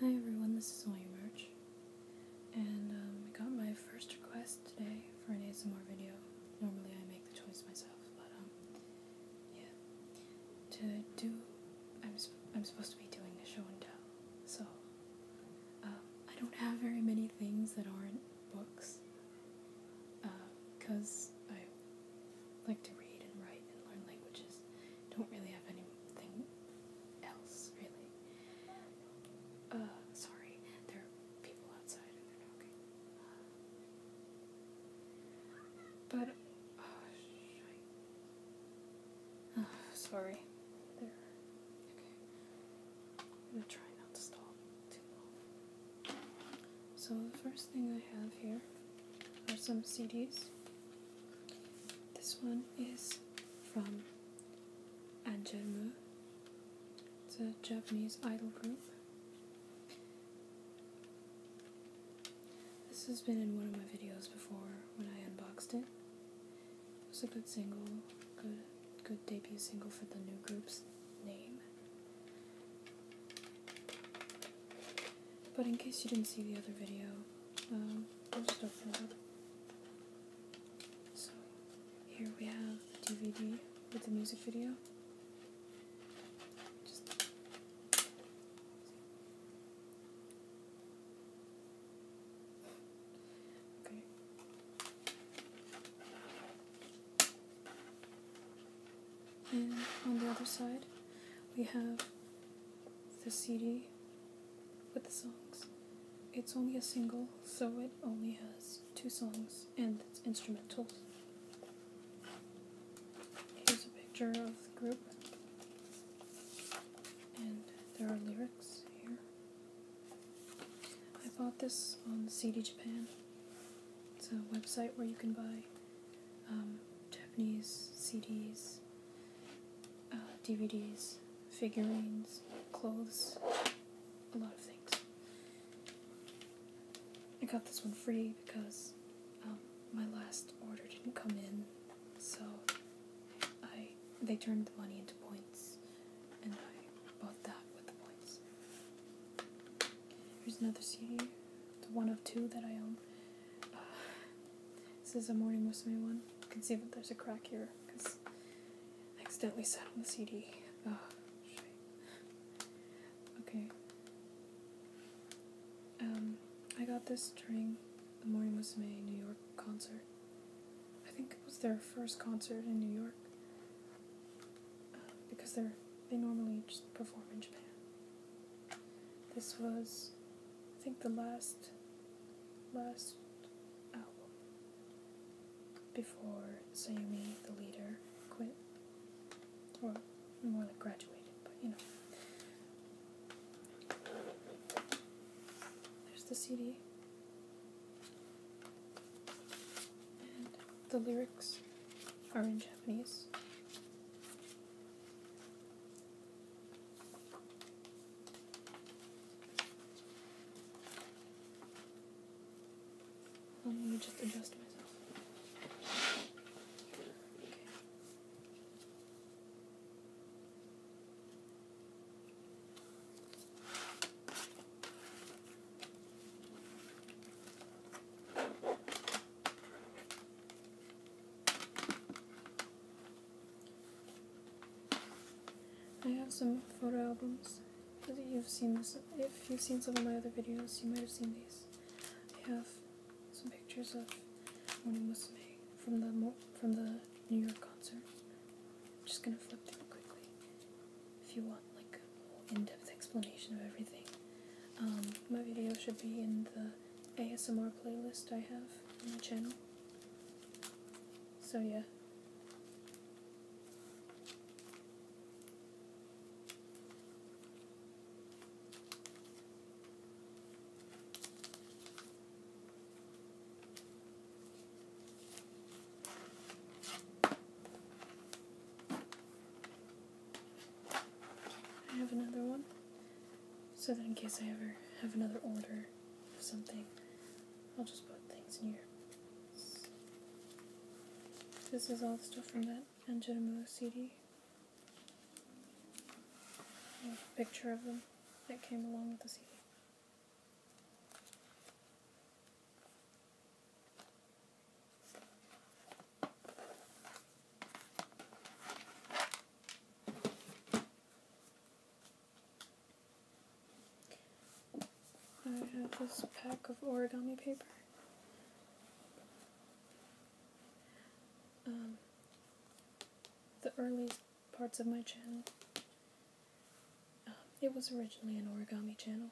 Hi everyone, this is William March, and um, I got my first request today for an ASMR video. Normally I make the choice myself, but um, yeah. To do, I'm, I'm supposed to be doing a show and tell, so um, I don't have very many things that aren't books, because uh, I like to read and write and learn languages. Don't really have anything else, really. Uh, sorry, there are people outside and they're talking. But, oh, uh, shite. Oh, uh, sorry. There. Okay. I'm gonna try not to stall. So the first thing I have here are some CDs. This one is from Angelmu. It's a Japanese idol group. This has been in one of my videos before when I unboxed it. It was a good single, good good debut single for the new group's name. But in case you didn't see the other video, I'll um, just open it up. So here we have the DVD with the music video. okay. And on the other side, we have the CD with the songs. It's only a single, so it only has two songs and it's instrumentals. Here's a picture of the group, and there are lyrics here. I bought this on CD Japan. It's a website where you can buy um, Japanese CDs, uh, DVDs, figurines, clothes, a lot of things. I got this one free because um, my last order didn't come in, so I they turned the money into points points, and I bought that with the points. Here's another CD. It's one of two that I own. Uh, this is a Morning Musume one. You can see that there's a crack here because I accidentally sat on the CD. Oh, okay. Um, I got this during the Morning Musume New York concert. I think it was their first concert in New York because they're they normally just perform in Japan. This was, I think, the last last album before Sayumi, the leader, quit, or more like graduated, but you know. There's the CD. And the lyrics are in Japanese. Let me just adjust myself. Okay. I have some photo albums. You've seen this. If you've seen some of my other videos, you might have seen these. I have some pictures of Morning Musume from the from the New York concert. I'm just gonna flip through quickly if you want like a whole in-depth explanation of everything. Um, my video should be in the ASMR playlist I have on my channel. So yeah. I have another one so that in case I ever have another order of something, I'll just put things in here. This is all the stuff from that Angelimo CD picture of them that came along with the CD. I have this pack of origami paper. Um, the early parts of my channel. Um, it was originally an origami channel,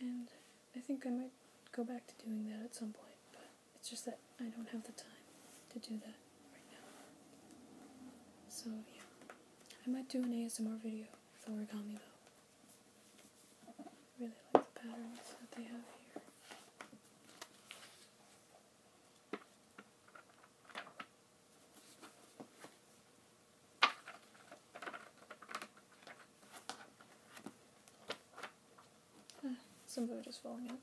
and I think I might go back to doing that at some point, but it's just that I don't have the time to do that right now. So, yeah. I might do an ASMR video with origami though. I really like the patterns that they have here. Ah, some of it is falling out.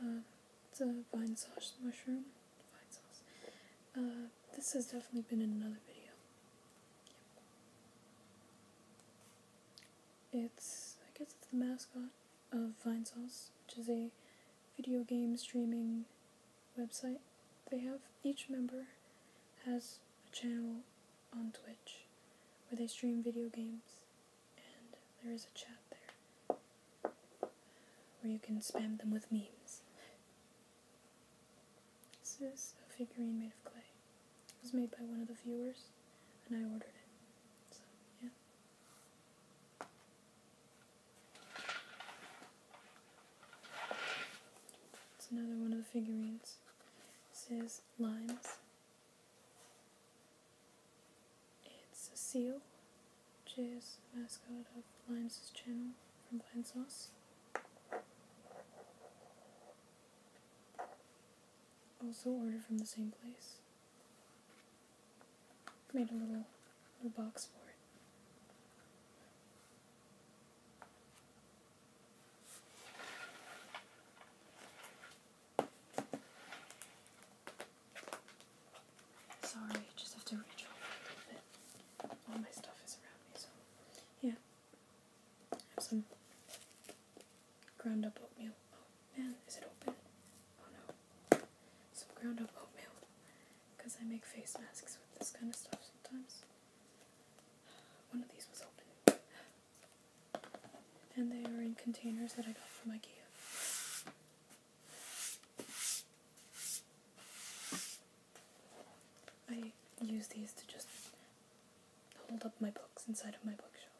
Uh, it's a vine sauce mushroom. Vine sauce. Uh, this has definitely been in another video. It's, I guess it's the mascot of Vine Sauce, which is a video game streaming website, they have each member has a channel on Twitch where they stream video games, and there is a chat there where you can spam them with memes. This is a figurine made of clay. It was made by one of the viewers, and I ordered it. So, yeah. It's another one of the figurines. This is limes. It's a seal, which is the mascot of Limes' channel from Blind Sauce. Also ordered from the same place made a little, little box for it. Sorry, just have to reach over a bit. All my stuff is around me, so yeah. some ground up oatmeal. Oh man, is it open? Oh no. Some ground up oatmeal because I make face masks with this kind of stuff sometimes. One of these was open. And they are in containers that I got from IKEA. I use these to just hold up my books inside of my bookshelf.